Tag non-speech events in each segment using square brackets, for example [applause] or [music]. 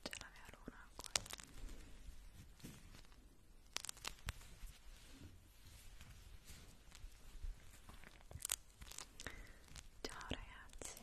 C'è la mia luna qua. Ciao ragazzi.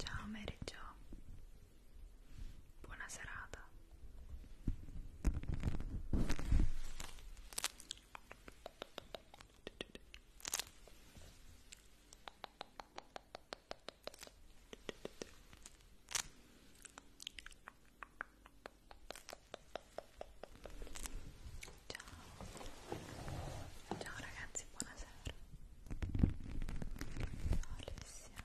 Ciao Mary Jo, buona serata. Ciao, ciao ragazzi, buonasera. Ciao Alessia.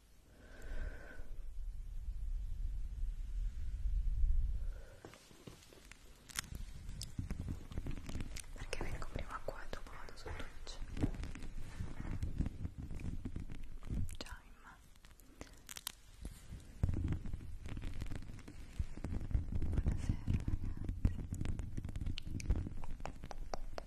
perché vengo prima qua e dopo vado su Twitch ciao Imma buonasera ragazzi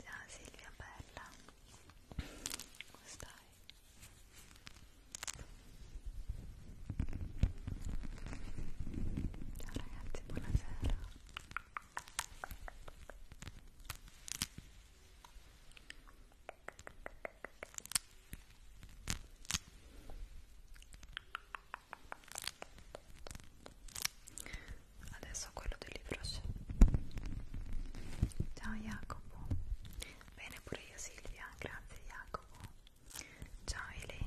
Ciao Silvia bella, come stai? Ciao ragazzi, buonasera. Ciao adesso quello del libro c'è ciao Jacopo bene pure io Silvia grazie Jacopo ciao Elenia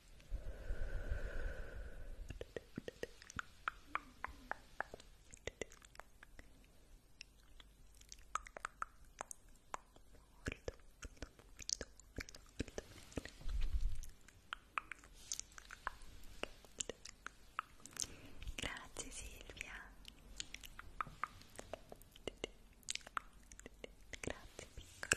Grazie Silvia. Grazie piccola.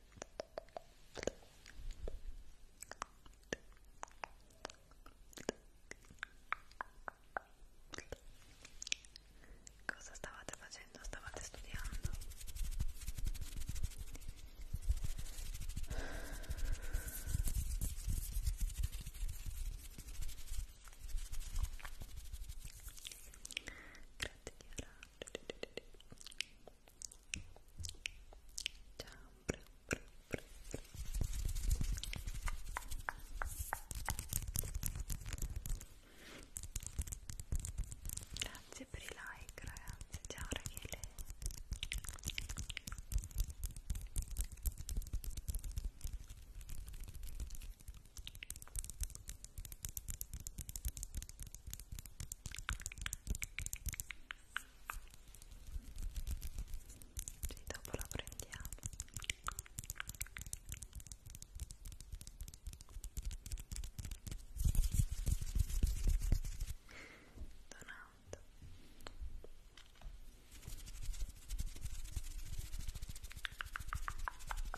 Cosa stavate facendo? Stavate studiando? Grazie Chiara Grazie per i like ragazzi, ciao Rachele Ciao sì, dopo la prendiamo. Donato.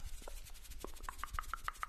Ecco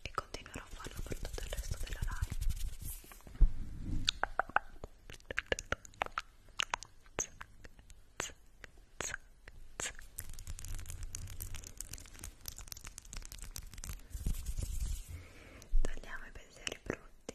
e continuerò a farlo per tutto il resto della live tagliamo i pensieri brutti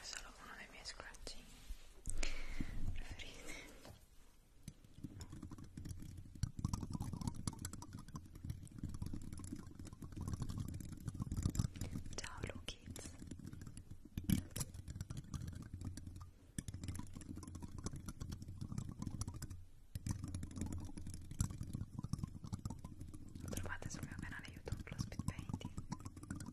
è solo uno dei miei scratchini preferiti ciao Lu Kids lo trovate sul mio canale youtube lo speed painting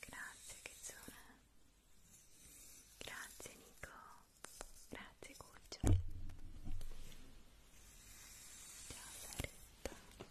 Grazie Kezzona Grazie Nico Grazie Cuccio Ciao Saretta Ti va bene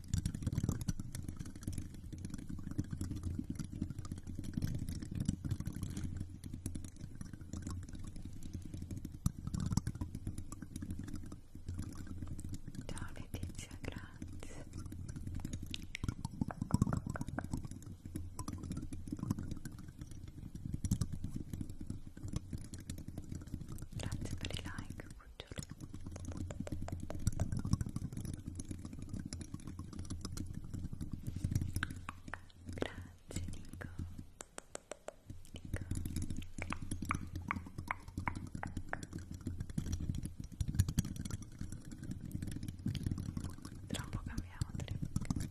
Ciao Letizia, grazie. Grazie per i like. Grazie Nico. Nico. Tra un po' cambiamo trip. Ciao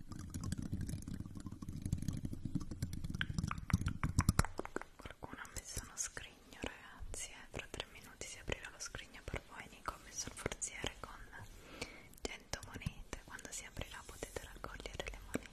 Qualcuno ha messo uno scrigno ragazzi, eh? fra tre minuti si aprirà lo scrigno per voi, Nico ha messo il forziere con 100 monete, quando si aprirà potete raccogliere le monete.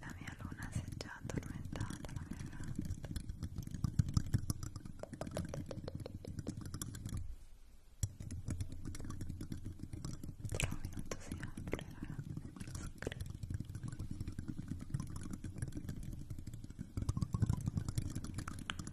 La mia luna si è già addormentata, la mia gatta. Tra un minuto si apre la screen.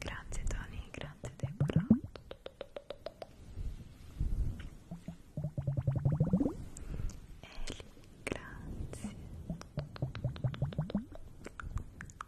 Grazie Tony, grazie Deborah. Eli, grazie.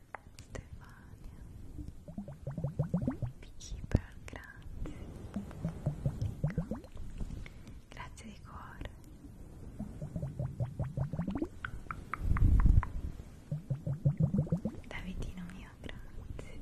Stefania Beekeeper, grazie Nico grazie di cuore Davidino mio, grazie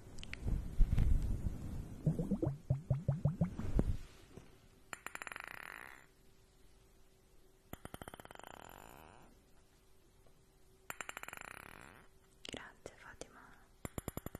Grazie Fatima. Grazie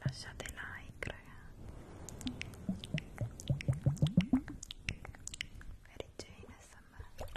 lasciate like ragazzi Mary Jane SMR Grazie.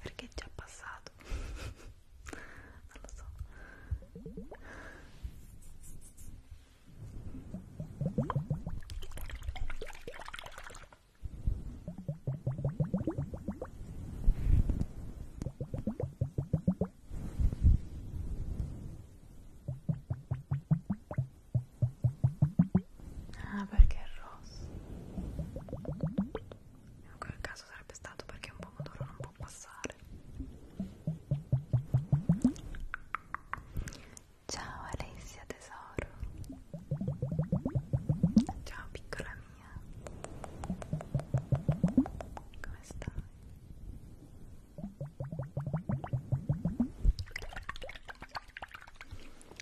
perché è già passato non lo so Ah, perché è rosso. In quel caso sarebbe stato perché un pomodoro non può passare. Ciao Alessia tesoro. Ciao piccola mia. Come stai?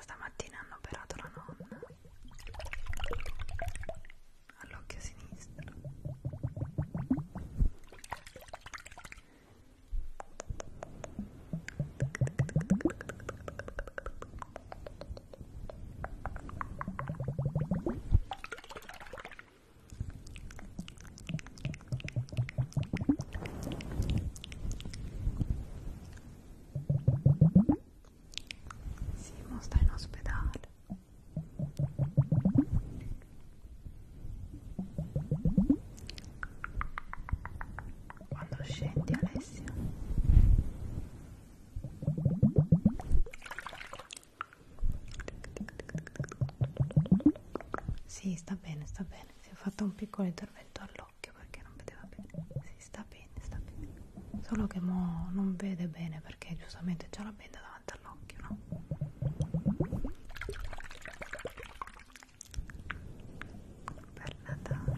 che stamattina hanno operato la nonna all'occhio sinistro Ecco Simo sta in ospedale quando scendi Alessia sì sta bene sta bene si è fatto un piccolo intervento all'occhio l'occhio perché non vedeva bene. Sì, sta bene, sta bene. Solo che mo non vede bene perché giustamente c'ha la benda davanti all'occhio, no? Per Natale.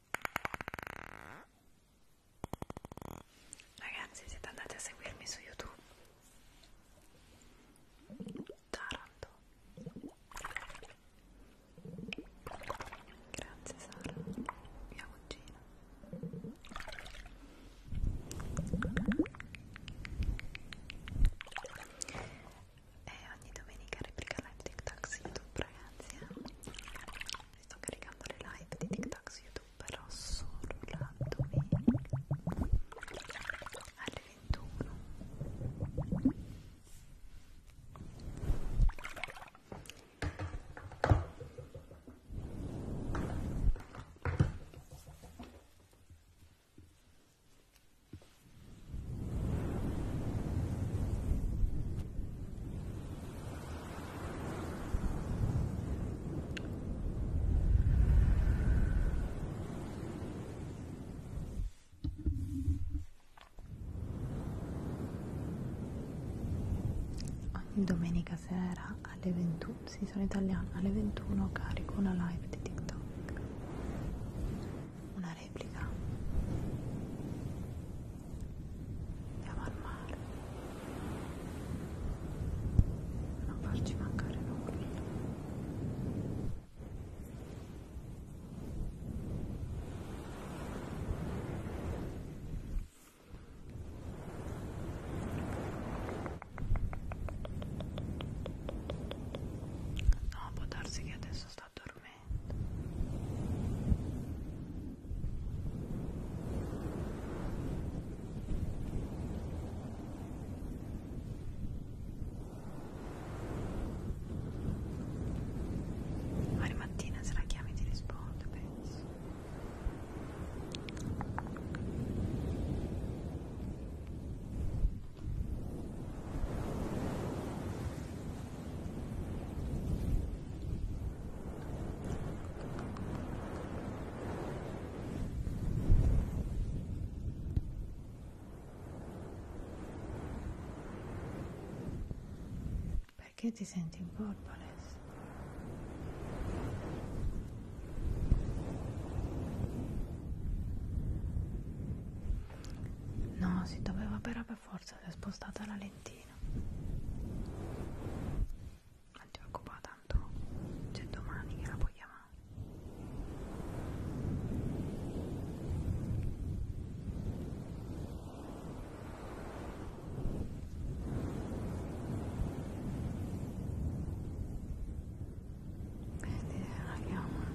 Ragazzi, siete andati a seguirmi su YouTube? Taranto. Grazie Sara, mia cugina. E ogni domenica replica live TikTok su YouTube, ragazzi. Eh? sto caricando le live di TikTok su YouTube però solo la domenica alle 21 Ciao Ogni domenica sera alle 21, sì sono italiana, alle 21 carico una live di TikTok, una replica andiamo al mare non farci mancare nulla No, può darsi che adesso sta dormendo. Domani mattina se la chiami ti rispondo, penso. Perché ti senti in porpoles? No, si doveva però per forza si è spostata la lentina non ti preoccupare tanto c'è domani che la puoi chiamare vedi [laughs] la chiama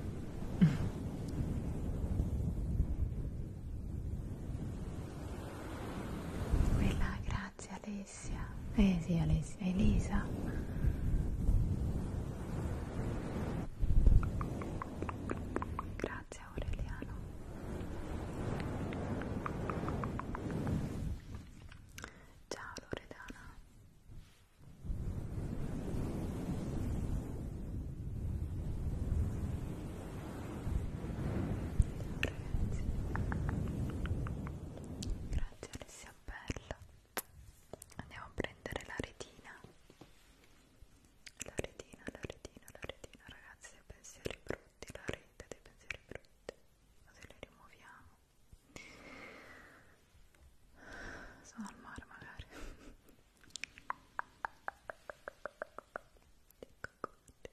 quella Grazie Alessia. Eh sì Alessia, Elisa. Grazie Aureliano. Ciao Loredana. Grazie Alessia Bella. Andiamo a prendere la retina. La retina, la retina, la retina, ragazzi, dei pensieri brutti, la rete dei pensieri brutti. Così li rimuoviamo. Sono al mare magari. Ecco,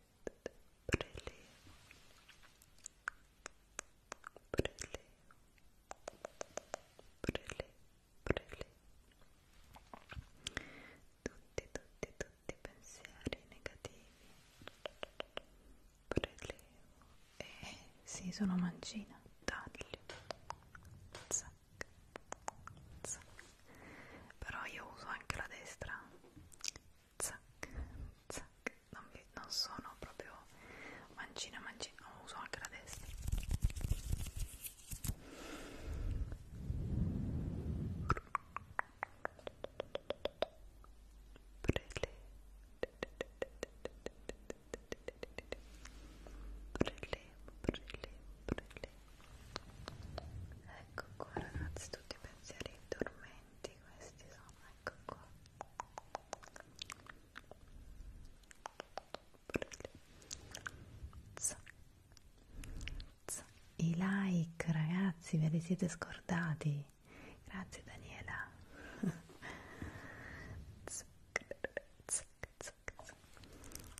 prelievo prelievo prelievo prelievo tutti tutti tutti i pensieri negativi prelevo e eh, sì sono mancina taglio zac zac però io uso anche la destra zac, zac. Non, vi, non sono proprio mancina, mancina, no, uso anche la destra. Prele. Prele, prele, prele. Ecco qua ragazzi tutti i pensieri dormenti pigmenti questi sono, ecco qua i like ragazzi ve li siete scordati grazie Daniela [laughs] mi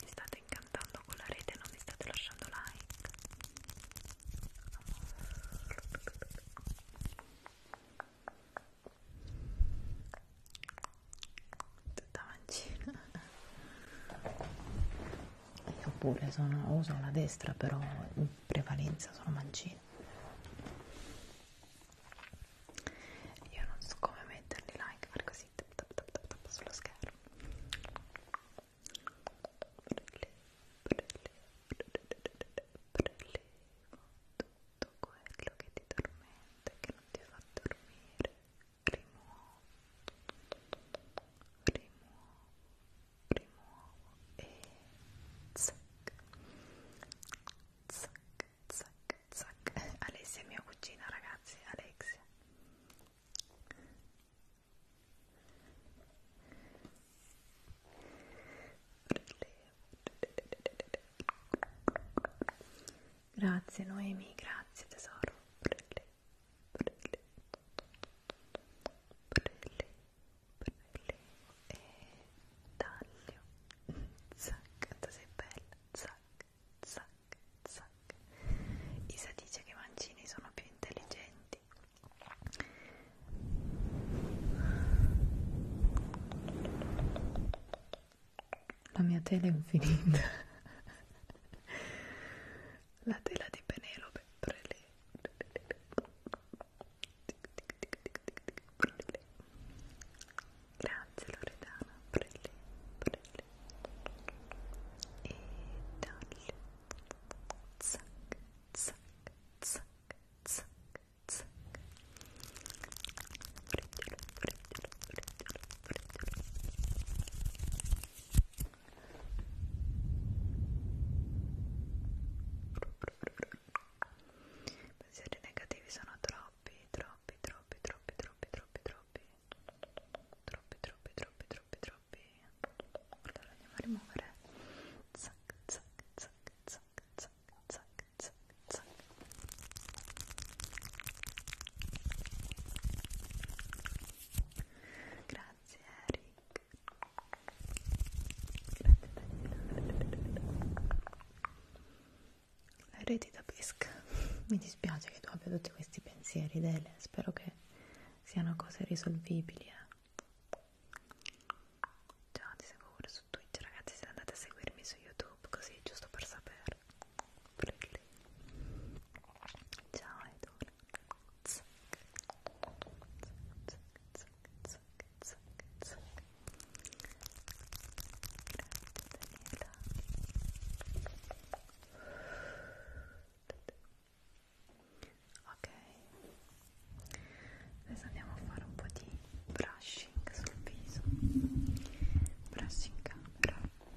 state incantando con la rete non mi state lasciando lasciando like tutta mancina io pure sono, uso la destra però in prevalenza sono mancina io non so come metterli like per così tap, tap, tap, tap, tap, sullo schermo tutto quello che ti tormenta, che non ti fa dormire, rimuovo, rimuovo, rimuovo e zac, zac, zac, zac. Alessia è mia cugina, ragazzi, Alexia. Grazie Noemi, grazie tesoro. Prele, prele. Prele, prele. E taglio. Zac, tu sei bella. Zac, zac, zac. Isa dice che i mancini sono più intelligenti. La mia tela è infinita. La tela di Penelope. Grazie Loredana. Prele, prele. E dalle. Zac, zac, zac, zac, zac. Prendilo, prendilo, prendilo, prendilo. Pensieri negativi sono troppi, troppi, troppi, troppi, troppi, troppi, troppi. Troppi, troppi, troppi, troppi, troppi troppi allora andiamo a rimuovere zac zac zac zac zac zac zac zac grazie Eric grazie Daniela reti da pesca mi dispiace che tu abbia tutti questi pensieri Dele spero che siano cose risolvibili eh. Ciao, ti seguo pure su Twitch, ragazzi. Se andate a seguirmi su YouTube, così giusto per sapere. Ciao, Edward. Zac, zac, zac, zac, zac, zac. Grazie, Daniela ok adesso andiamo a fare un po' di brushing sul viso brushing camera ok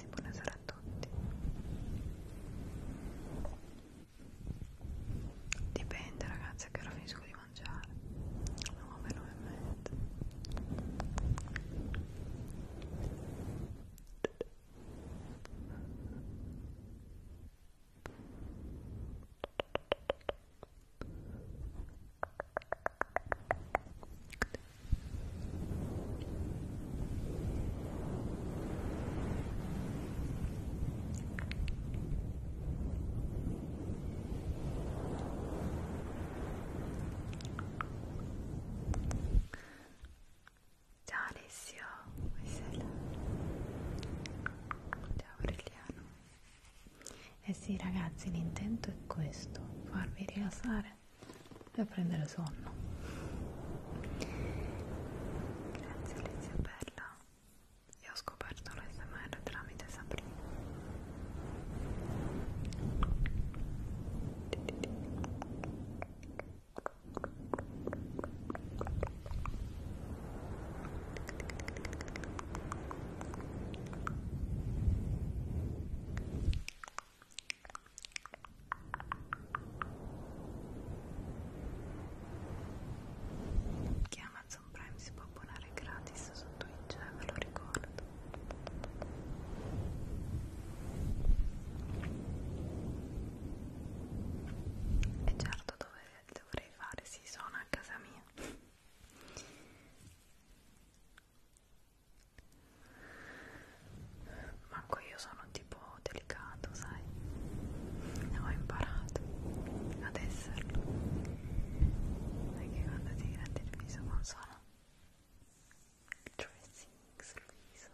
ragazzi, buonasera a tutti. Dipende ragazzi a che ora finisco di mangiare. No, me lo è mezzo. Ciao Ciao Alessio, buonasera. Ciao Aureliano. Eh sì ragazzi, l'intento è questo, farvi rilassare e a prendere sonno grazie Lizia Bella io ho scoperto l'SMR tramite Sabrina Grazie che Amazon Prime si può abbonare gratis su Twitch, eh, ve lo ricordo e certo dove dovrei fare, si sì, sono a casa mia manco io sono tipo delicato sai ho imparato ad esserlo perché quando ti grandi il viso non sono dressing sul viso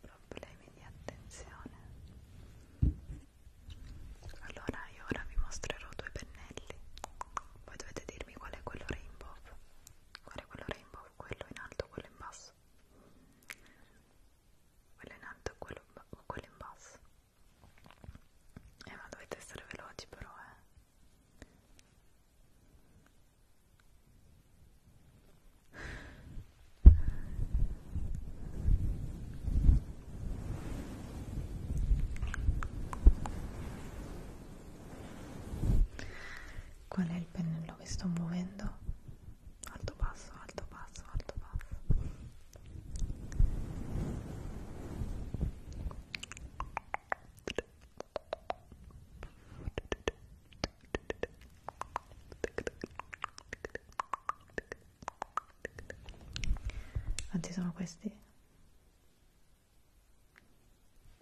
problemi di attenzione allora io ora vi mostrerò due pennelli poi dovete dirmi qual è quello rainbow qual è quello rainbow quello in alto quello in basso quello in alto quello, quello in basso eh ma dovete essere veloci però eh Qual è il pennello che sto muovendo? Alto basso, alto basso, alto basso Oggi sono questi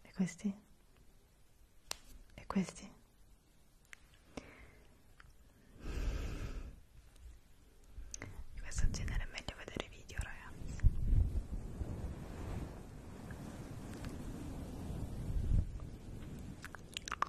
e questi e questi di questo genere è meglio vedere video ragazzi Ciao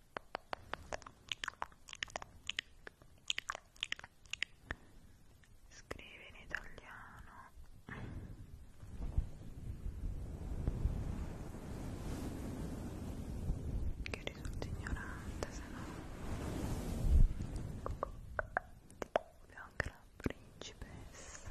Scrivi in italiano. Che risulti ignorante, se no. Abbiamo anche la principessa.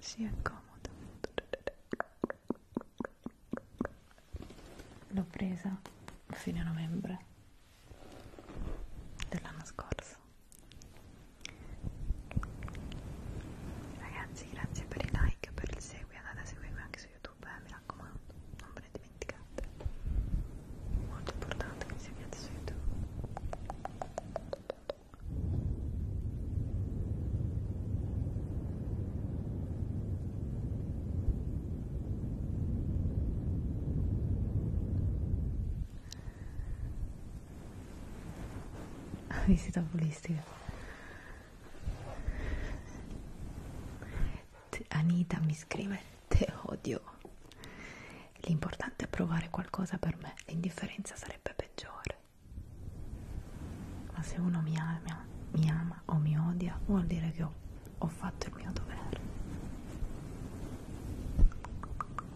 si accomoda l'ho presa a fine novembre dell'anno scorso ragazzi grazie per i like per il segui andate a seguirmi anche su youtube eh, mi raccomando non ve ne dimenticate molto importante che seguiate su youtube visita ah, oculistica Anita mi scrive te odio l'importante è provare qualcosa per me l'indifferenza sarebbe peggiore ma se uno mi ama, mi ama o mi odia vuol dire che ho, ho fatto il mio dovere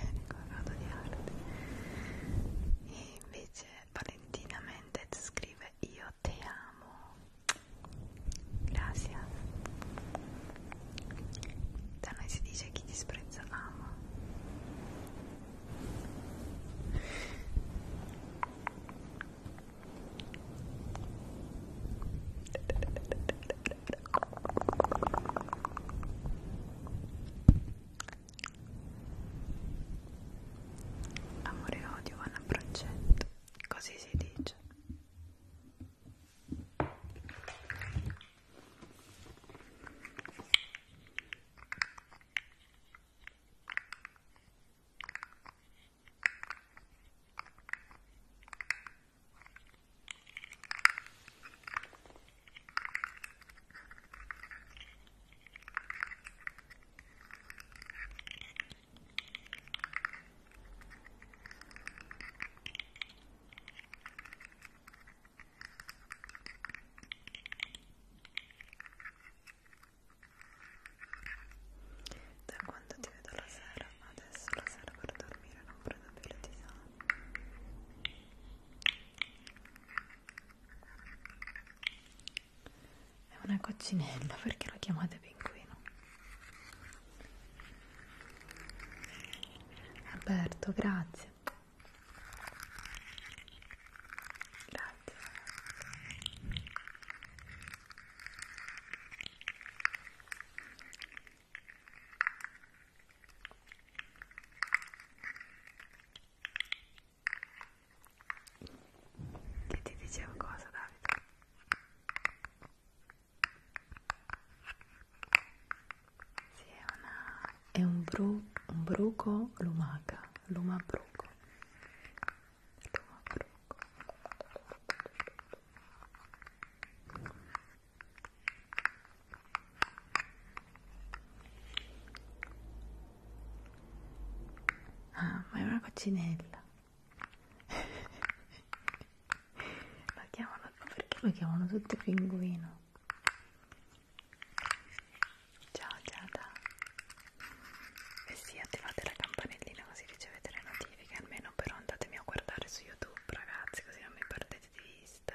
ricordato di arte e invece Valentina Mendez scrive io te amo grazie da noi si dice chi disprezza ama [laughs] Amore e odio vanno a progetto, così si dice. Ciao da quando ti vedo la sera, adesso la sera per dormire non prendo più le tisane. È una coccinella, perché lo chiamate pinguino? Alberto, grazie. Grazie. Che ti dicevo cosa, Davide? Sì, è, una, è un, bru, un bruco lumaca, luma bruco. Luma bruco. Ah, ma è una coccinella. [laughs] la chiamano, perché lo chiamano tutto pinguino? Ciao Giada. E eh sì, attivate la campanellina così ricevete le notifiche, almeno però andatemi a guardare su YouTube, ragazzi, così non mi perdete di vista.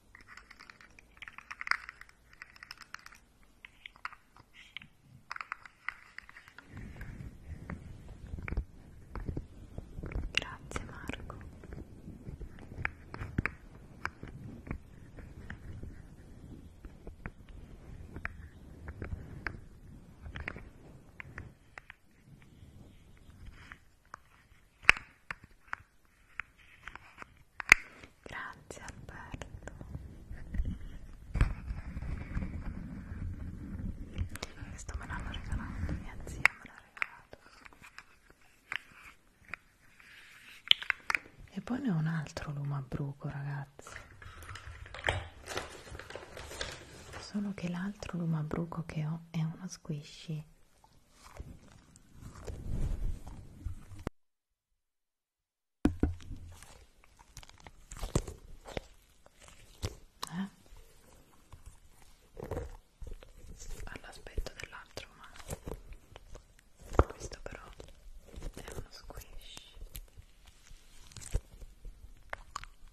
Grazie Marco. Grazie Alberto. Questo me l'hanno regalato, mia zia me l'ha regalato. E poi ne ho un altro lume a bruco, ragazzi. Solo che l'altro lume a bruco che ho è uno squishy eh? all'aspetto dell'altro ma questo però è uno squish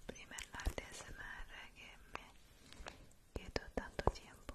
prima è l'ASMR che mi chiedo tanto tempo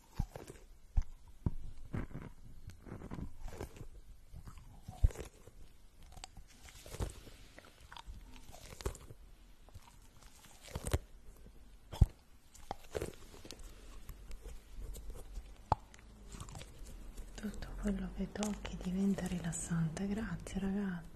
tutto quello che tocchi diventa rilassante grazie ragazzi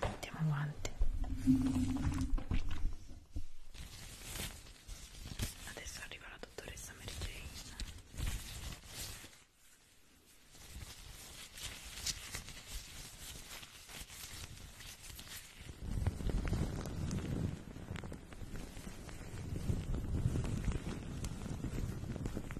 Andiamo avanti. Adesso arriva la dottoressa Mary Jane.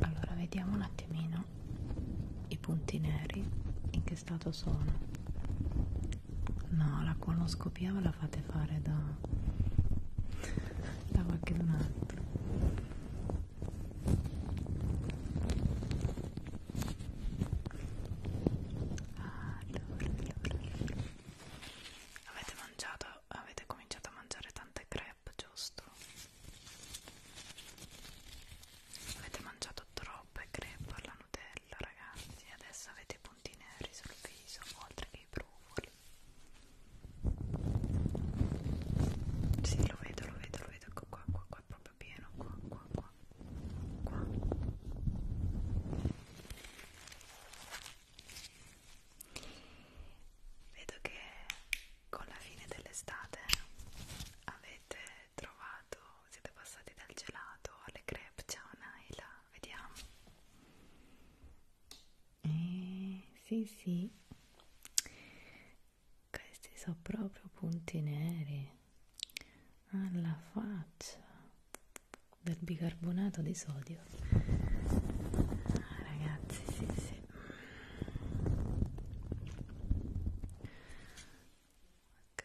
allora vediamo un attimino i punti neri in che stato sono no la coloscopia ve la fate fare da da qualche un altro allora, allora, allora. Avete mangiato, avete cominciato a mangiare tante crepe, giusto? Avete mangiato troppe crepe alla Nutella, ragazzi. Adesso avete i punti neri sul viso, oltre che i brufoli. Sì, lo vedo, lo vedo, lo vedo. Ecco qua, qua, qua, è proprio pieno. Qua, qua, qua. Qua. Vedo che con la fine dell'estate avete trovato, siete passati dal gelato alle crepe, ciao Naila, vediamo. Eh, sì, sì. Questi sono proprio punti neri alla faccia del bicarbonato di sodio ah, ragazzi sì sì ok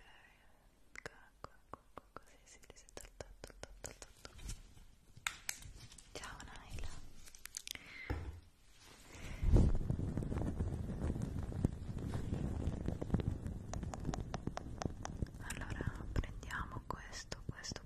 qua qua così si sì, ciao Naila allora prendiamo questo questo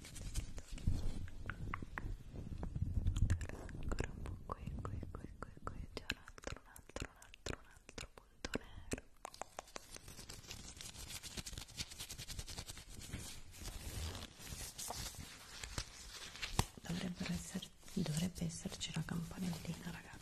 ancora un po' qui, qui, qui, qui, qui c'è un altro, un altro, un altro, un altro punto nero Dovrebbero esserci, dovrebbe esserci la campanellina ragazzi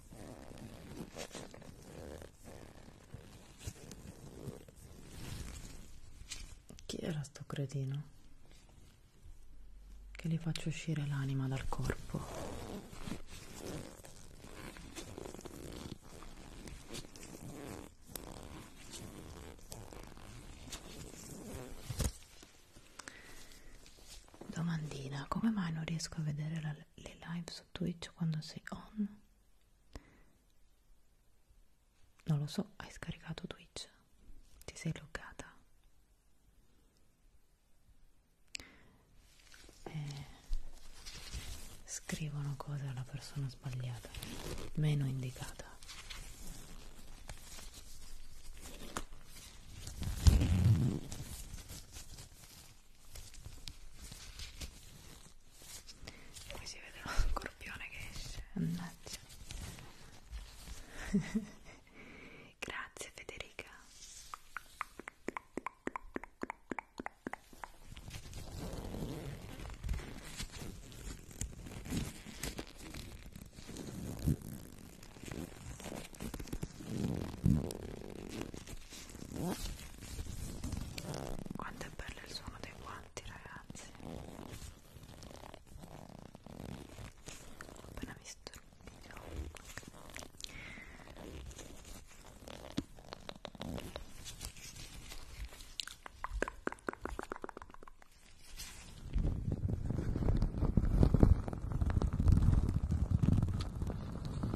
Chi era sto cretino? Che gli faccio uscire l'anima dal corpo. Domandina, come mai non riesco a vedere la le live su Twitch quando sei on? Non lo so, hai scaricato Twitch? Ti sei loggata? Eh, scrivono cose alla persona sbagliata, meno indicata. Qui si vede lo scorpione che esce, annaggia. [laughs] Grazie Federica. Quanto è bello il suono dei guanti, ragazzi. Ho appena visto il video.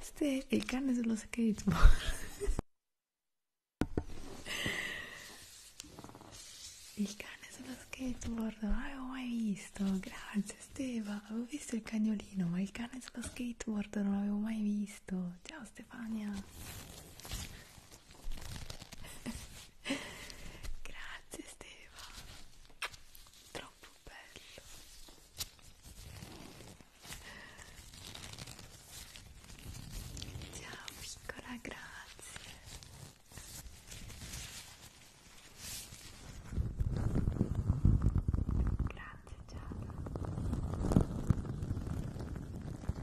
Ste il cane sullo skateboard il cane sullo skateboard non l'avevo mai visto grazie Steva avevo visto il cagnolino ma il cane sullo skateboard non l'avevo mai visto ciao Stefania Grazie Steva, troppo bello. Ciao piccola, grazie. Grazie Giada.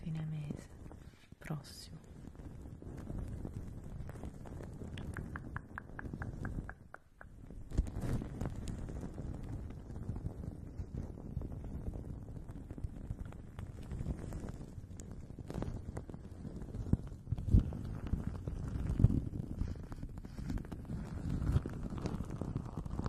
fine mese prossimo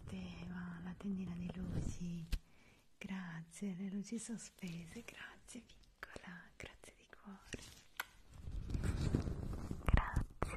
Steva, la tendina di luci, grazie, le luci sospese, grazie piccola, grazie di cuore. Grazie mille.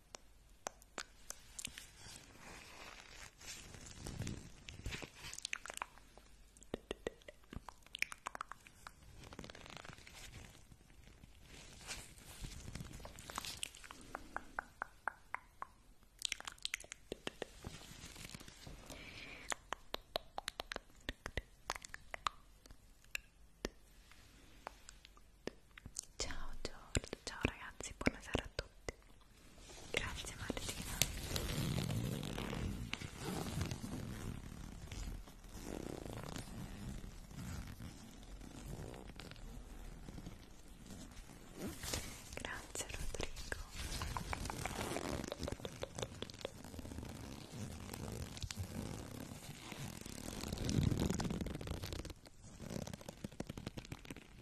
Ciao Giorgio, ciao ragazzi, buonasera a tutti. Grazie Martina. Grazie Rodrigo. Grazie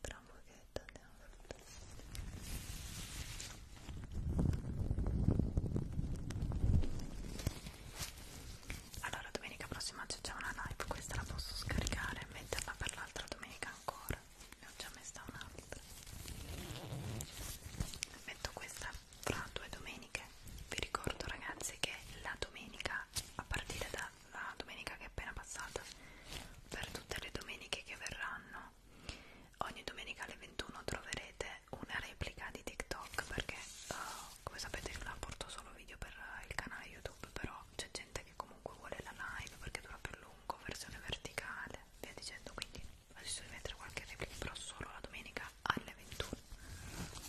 tra un pochetto andiamo a allora domenica prossima c'è già una live questa la posso scaricare e metterla per l'altra domenica ancora ne ho già messa un'altra metto questa fra due domeniche vi ricordo ragazzi che la domenica a partire da la domenica che è appena passata per tutte le domeniche che verranno ogni domenica alle 21 troverete una replica di TikTok perché uh, come sapete io la porto solo video per il canale YouTube però c'è gente che comunque vuole la live perché dura più a lungo, versione verticale via dicendo quindi adesso devi mettere qualche replica però solo la domenica alle 21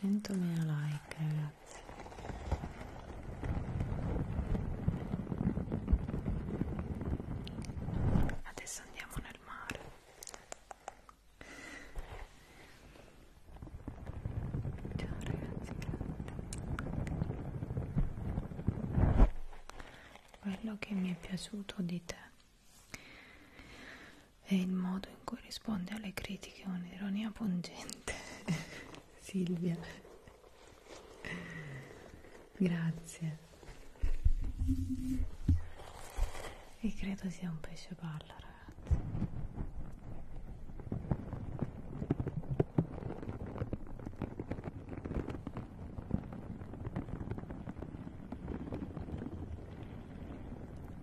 100.000 like ragazzi adesso andiamo nel mare ciao ragazzi quello che mi è piaciuto di te è il modo in cui risponde alle critiche un'ironia pungente [laughs] Silvia grazie e credo sia un pesce palla ragazzi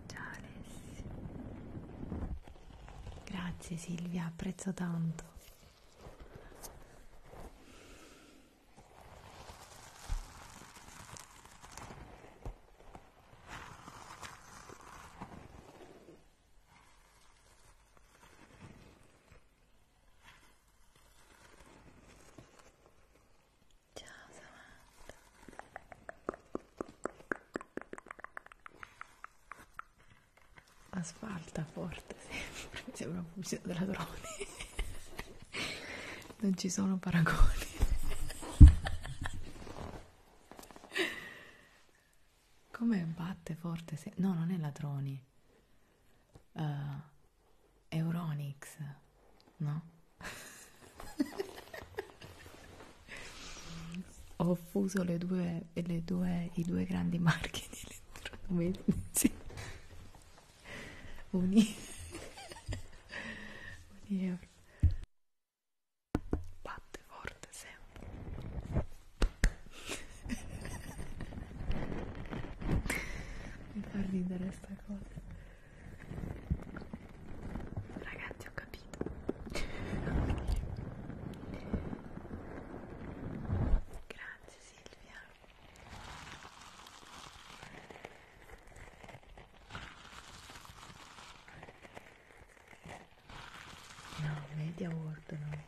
Ciao Alessi. Grazie Silvia, apprezzo tanto. Ciao Samantha Asfalta forte sempre, mi [laughs] sembra un fucile da ladroni Non ci sono paragoni Come batte forte? Se... No, non è ladroni. Uh, Euronix, no? Ho fuso le due, le due, i due grandi marchi di elettrodomestici Uni... Uni euro batte forte sempre mi fa ridere sta cosa ragazzi ho capito grazie Silvia no media world no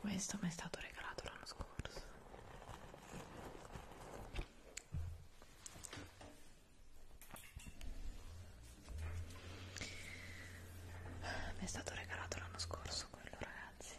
Questo mi è stato regalato l'anno scorso mi è stato regalato l'anno scorso quello ragazzi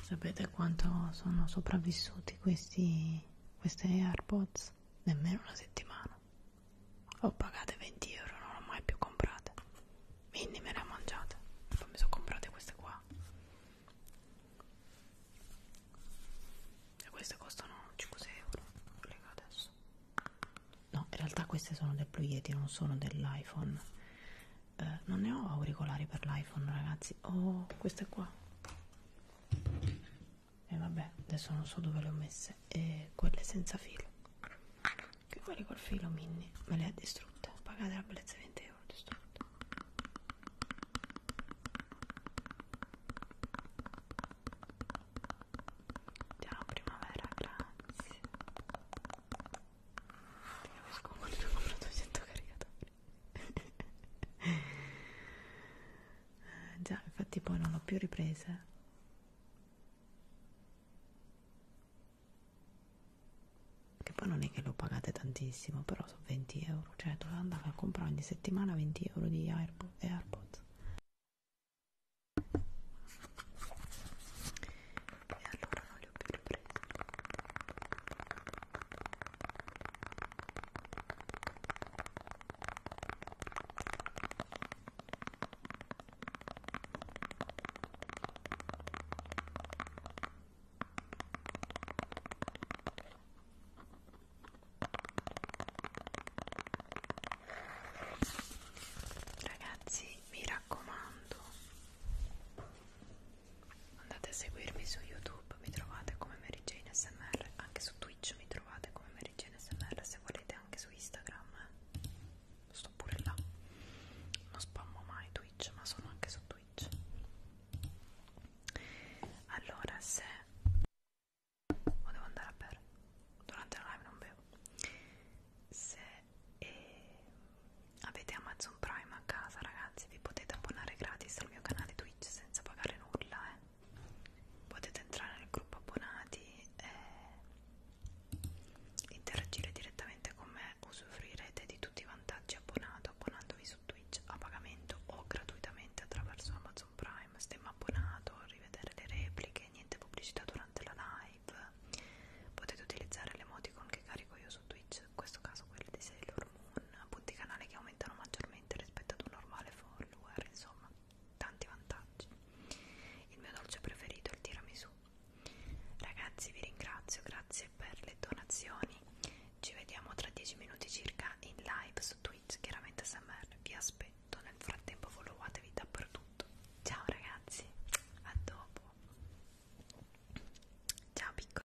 Sapete quanto sono sopravvissuti questi queste AirPods? Nemmeno una settimana. Ho pagate 20 euro, non l'ho mai più comprate. Quindi me le ho mangiate. Poi mi sono comprate queste qua. E queste costano 5-6 euro. adesso. No, in realtà queste sono del Blue Yeti, non sono dell'iPhone eh, non ne ho auricolari per l'iPhone ragazzi ho oh, queste qua e vabbè adesso non so dove le ho messe e quelle senza filo che quelle col filo mini me le ha distrutte pagate la bellezza 20 euro distrutte Ciao primavera, grazie. Ti capisco molto, ho comprato 100 caricatori. Eh, già, infatti poi non l'ho più ripresa. Che poi non è che lo pagate tantissimo, però sono 20 euro. Cioè, dove andare a comprare ogni settimana 20 euro di Airpo eh, AirPods. E allora non li ho più ripresi. Ragazzi, mi raccomando, andate a seguirmi su YouTube, mi trovate come Mary Jane SMR, anche su Twitch mi trovate come Mary Jane SMR, se volete anche su Instagram, eh. sto pure là, non spammo mai Twitch, ma sono anche su Twitch. Allora, se... o oh, devo andare a bere, durante la live non bevo. Se... Eh, avete Amazon Prime a casa ragazzi vi potete abbonare gratis al mio canale Twitch senza pagare nulla eh. potete entrare nel gruppo abbonati e interagire direttamente con me usufruirete di tutti i vantaggi abbonato abbonandovi su Twitch a pagamento o gratuitamente attraverso Amazon Prime stemma abbonato, rivedere le repliche niente pubblicità durante la live potete utilizzare l'emoticon che carico io su Twitch in questo caso quelle di Sailor Moon, appunto i canali che aumentano maggiormente rispetto ad un normale follower, insomma, tanti vantaggi. Il mio dolce preferito è il tiramisù. Ragazzi, vi ringrazio, grazie per le donazioni. Ci vediamo tra 10 minuti circa in live su Twitch, chiaramente SMR. Vi aspetto, nel frattempo followatevi dappertutto. Ciao ragazzi, a dopo. Ciao piccoli.